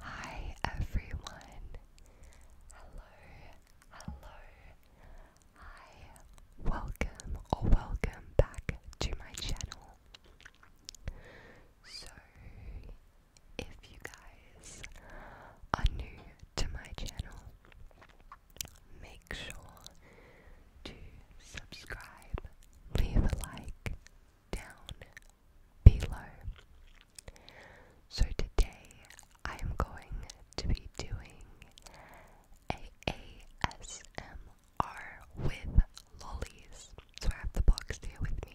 Hi everyone. Hello, hello. Hi. Welcome or welcome back to my channel. So, if you guys are new to my channel, make sure to subscribe, leave a like down below. So today I am going to be doing a ASMR with lollies. So I have the box here with me.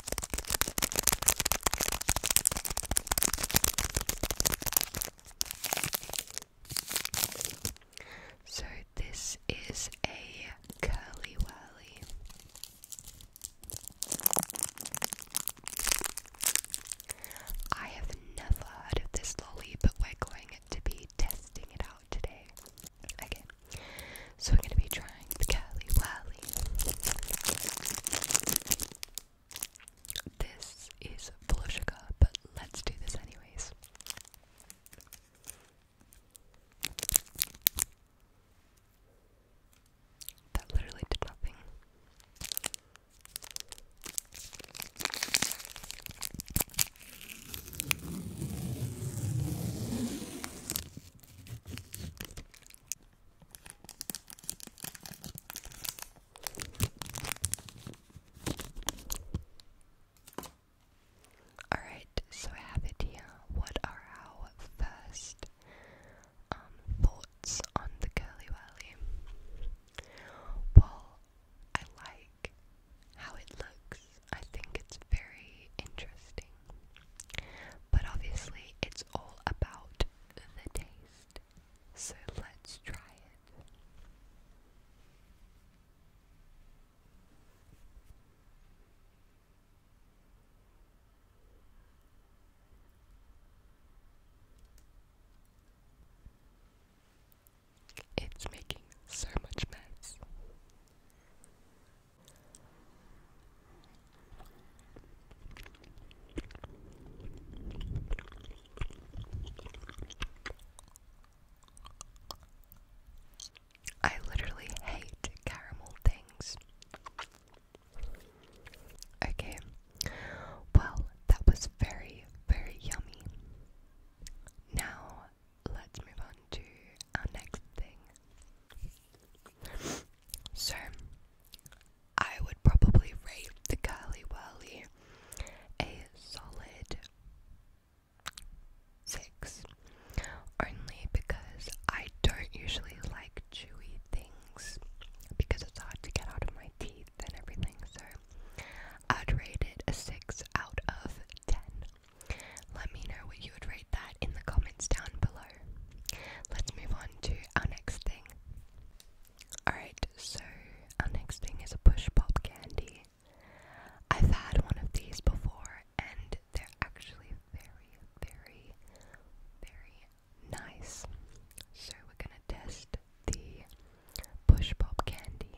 So this is a curly whirly. I have never heard of this lolly, but we're going to be testing it out today again. So I'm gonna be trying the Cali Wally. This is full of sugar, but let's do this anyways. That literally did nothing. Alright, so I have it here. What are our first um, thoughts on the Curly Wally? Well, I like how it looks. I think it's very interesting. But obviously, it's all about the taste. So let's try it. It's making so much mess. I literally hate caramel things. Okay, well, that was very, very yummy. Now let's move on to our next thing. So, I would probably rate the Curly Whirly a solid 6. Only because I don't usually like chewy things because it's hard to get out of my teeth and everything, so I'd rate it a 6 out of 10 let me know what you would rate that in the comments down below. Let's move on to our next thing. Alright, so our next thing is a push pop candy. I've had one of these before and they're actually very, very, very nice. So we're gonna test the push pop candy.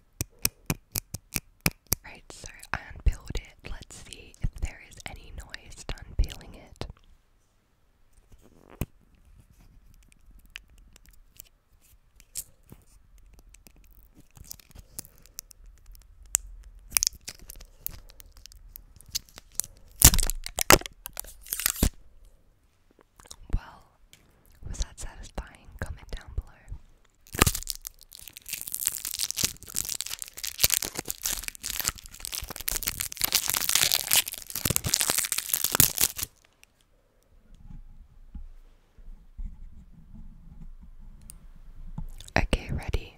Right, so I unpeeled it. Let's see if there is any noise to unpeeling it. Well, was that satisfying? Comment down below. Okay, ready.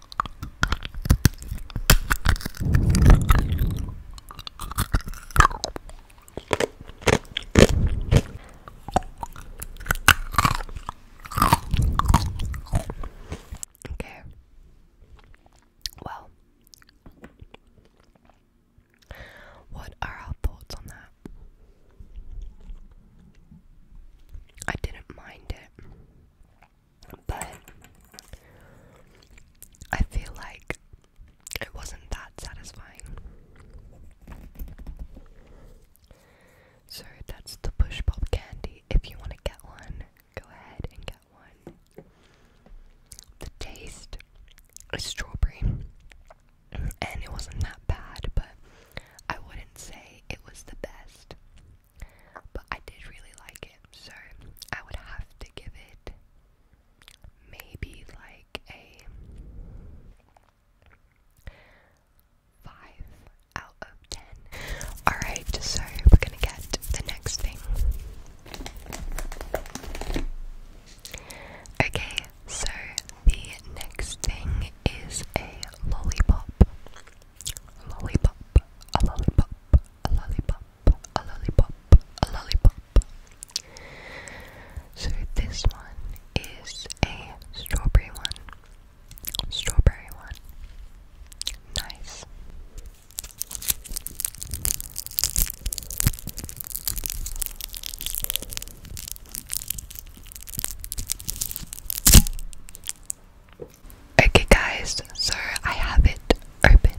Okay. Well, what are our thoughts on that? I didn't mind it. But I feel like it wasn't that satisfying. So that's the push pop candy. If you want to get one, go ahead and get one. The taste is strawberry, and it wasn't that bad, but I wouldn't say it was the best but I did really like it, so I would have to give it maybe like a 5 out of 10. Alright, so we're gonna get the next thing. Okay, so the next thing is a lollipop. Lollipop, a lollipop, a lollipop a lollipop, a lollipop. So this one is a strawberry one, strawberry one. Nice. Okay, guys, so I have it opened.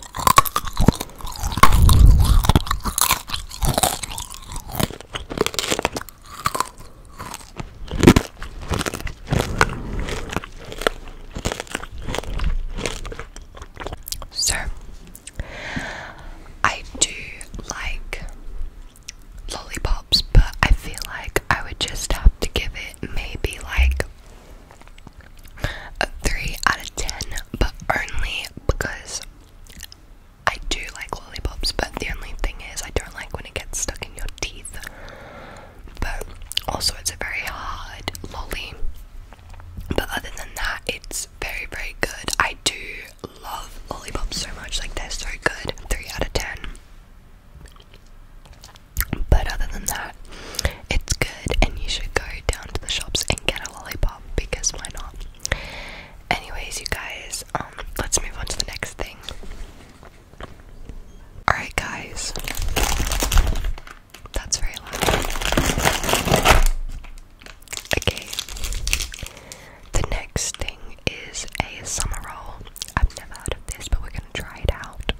So, I do like lollipops, but I feel like I would just have to give it maybe like a 3 out of 10, but only because I do like lollipops, but the only thing is I don't like when it gets stuck in your teeth. But also, it's a very hard lolly. But other than that, it's very, very good. I do love lollipops so much, like, they're so good. 3 out of 10. But other than that, it's good, and you should go down to the shops and get a lollipop because why not? Anyways, you guys, um, let's move on to the next thing. Alright, guys, that's very loud. Okay, the next thing is a summer roll. I've never heard of this, but we're gonna try it out.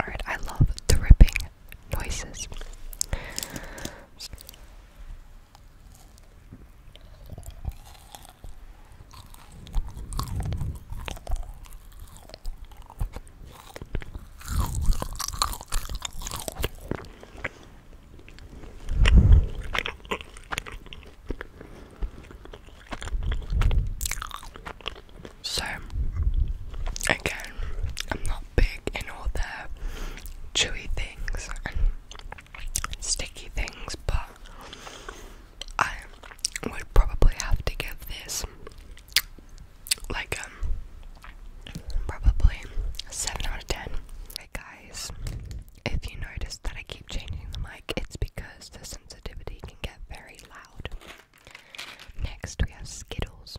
Alright, I love the ripping noises. So, again, I'm not big in all the chewy things and sticky things, but I would probably have to give this like um, probably 7 out of 10 guys, if you notice that I keep changing the mic, it's because the sensitivity can get very loud. Next, we have Skittles.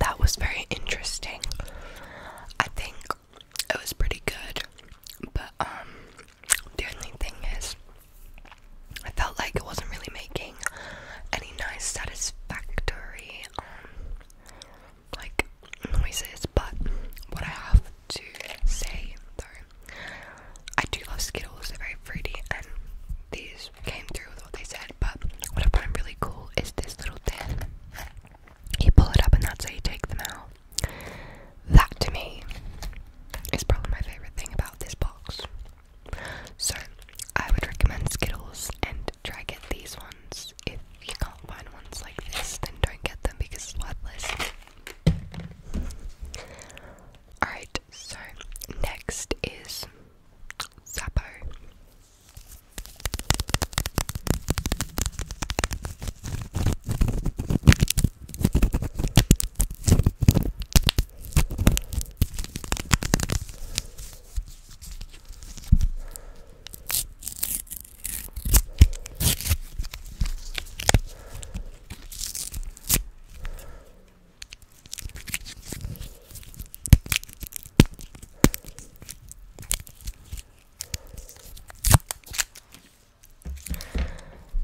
That was very interesting. I think it was pretty good, but um, the only thing is, I felt like it wasn't really making any nice, satisfactory um, like noises, but what I have to say though, I do love Skittles, they're very fruity, and these came through with what they said. But what I find really cool is this little thing. You pull it up, and that's how you take them out. That to me is probably my favorite thing about this box. So I would recommend Skittles and and try get these ones. If you can't find ones like this, then don't get them because it's worthless. Alright, so next is Zappo.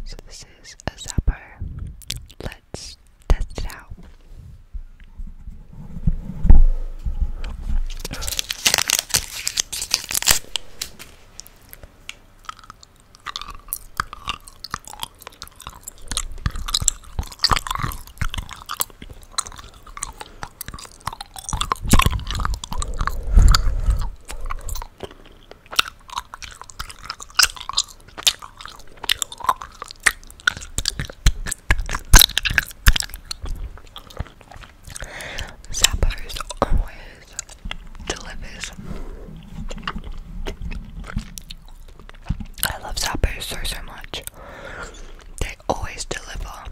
So this is a zapper. Let's test it out. Zappos always delivers. I love Zappos so, so much. They always deliver.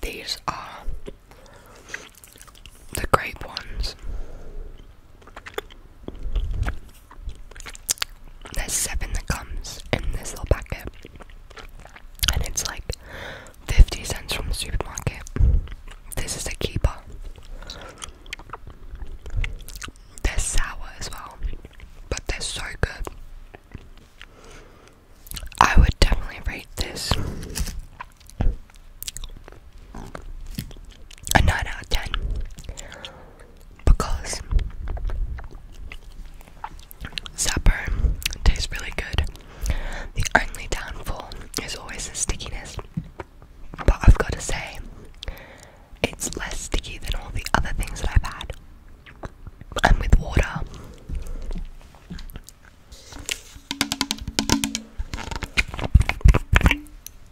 These are the great ones. There's seven that comes in this little packet, and it's like 50 cents from the supermarket. This is a keeper. They're sour as well, but they're so good. I would definitely rate this a 9 out of 10 because Zapper tastes really good. The only downfall is always the stickiness, but I've got to say, it's less sticky than all the other things that I've had. And with water,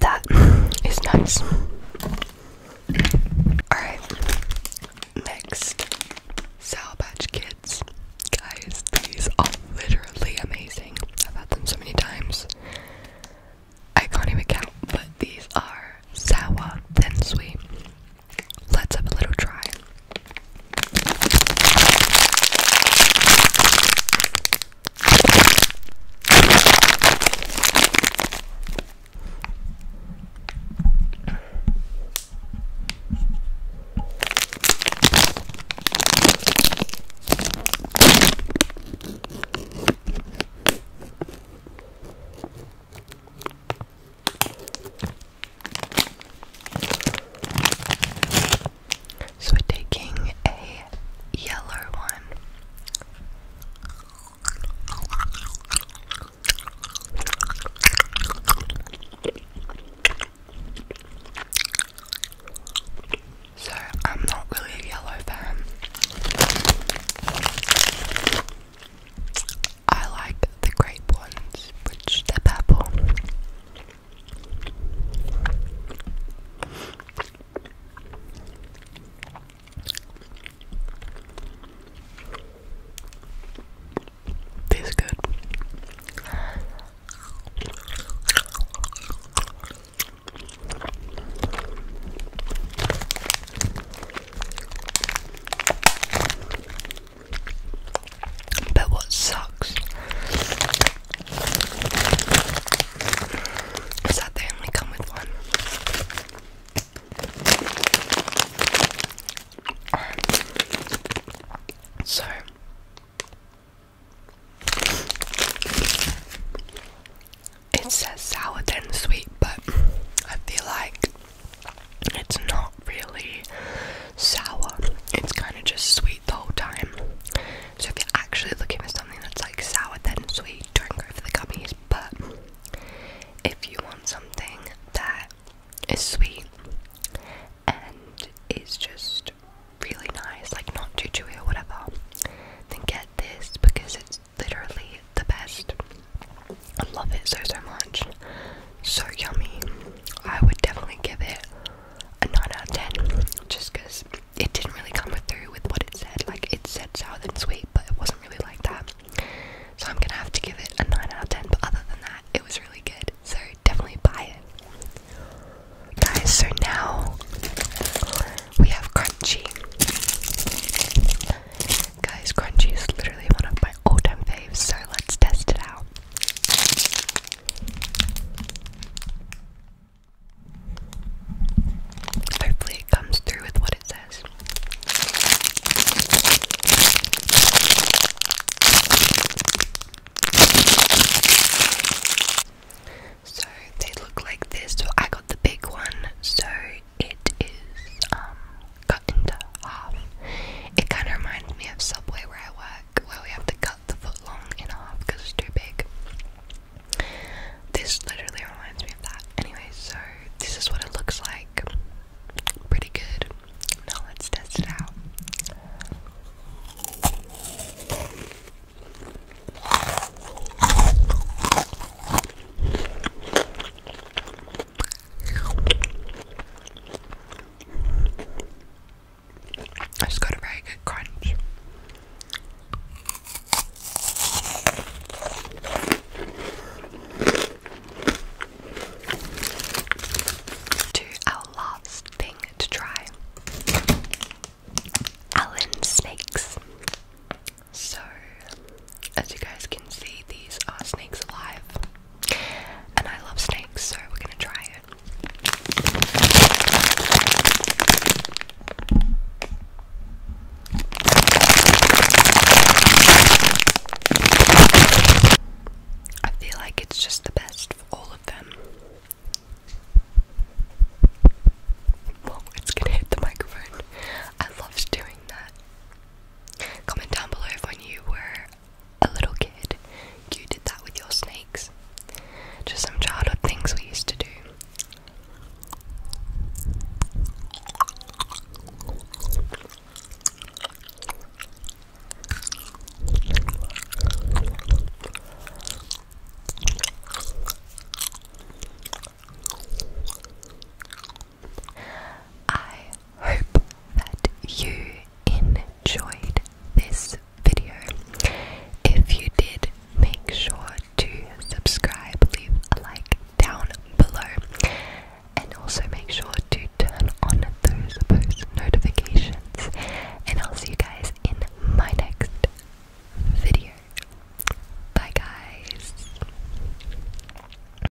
That is nice. Alright, next Sour Patch Kids. Guys, these are literally amazing. I've had them so many times. I can't even count, but these are sour, then sweet. Let's have a little try. So we're taking a yellow one. So I'm not really a yellow fan. I like the grape ones, which they're purple. Tastes good. But what sucks is that they only come with one. So. It says sour then sweet, but I feel like it's not really sour, it's kind of just sweet the whole time. So, if you're actually looking for something that's like sour then sweet, don't go for the gummies. But if you want something that is sweet and is just really nice, like not too chewy or whatever, then get this because it's literally the best. I love it so so much. So yummy. I would definitely give it a 9 out of 10 just because it didn't really come through with what it said. Like it said sour and sweet, but it wasn't really like that. So I'm gonna have to give it a 9 out of 10, but other than that, it was really good. So definitely buy it. Guys, so now we have crunchy. Guys, crunchy is literally one of my all-time faves, so let's test it out. Hopefully it comes through with what it says. So they look like this. So I got the big one. So it is um cut into half. It kind of reminds me of Subway where I work, where we have to cut the foot long in half because it's too big. This literally reminds me of that. Anyway, so this is what it looks like. Pretty good. Now let's test it out. It's got a very good crunch. To our last thing to try Allen Snakes. So, as you guys can see, these are snakes alive. And I love snakes, so we're gonna try it. I feel like it's just the best for all of them. Whoa, it's gonna hit the microphone. I love doing that. Comment down below if when you were a little kid you did that with your snakes. Just some childhood things we used to do. I hope that you enjoyed this video. If you did, make sure to subscribe, leave a like down below, and also make sure to turn on those post notifications. And I'll see you guys in my next video. Bye, guys.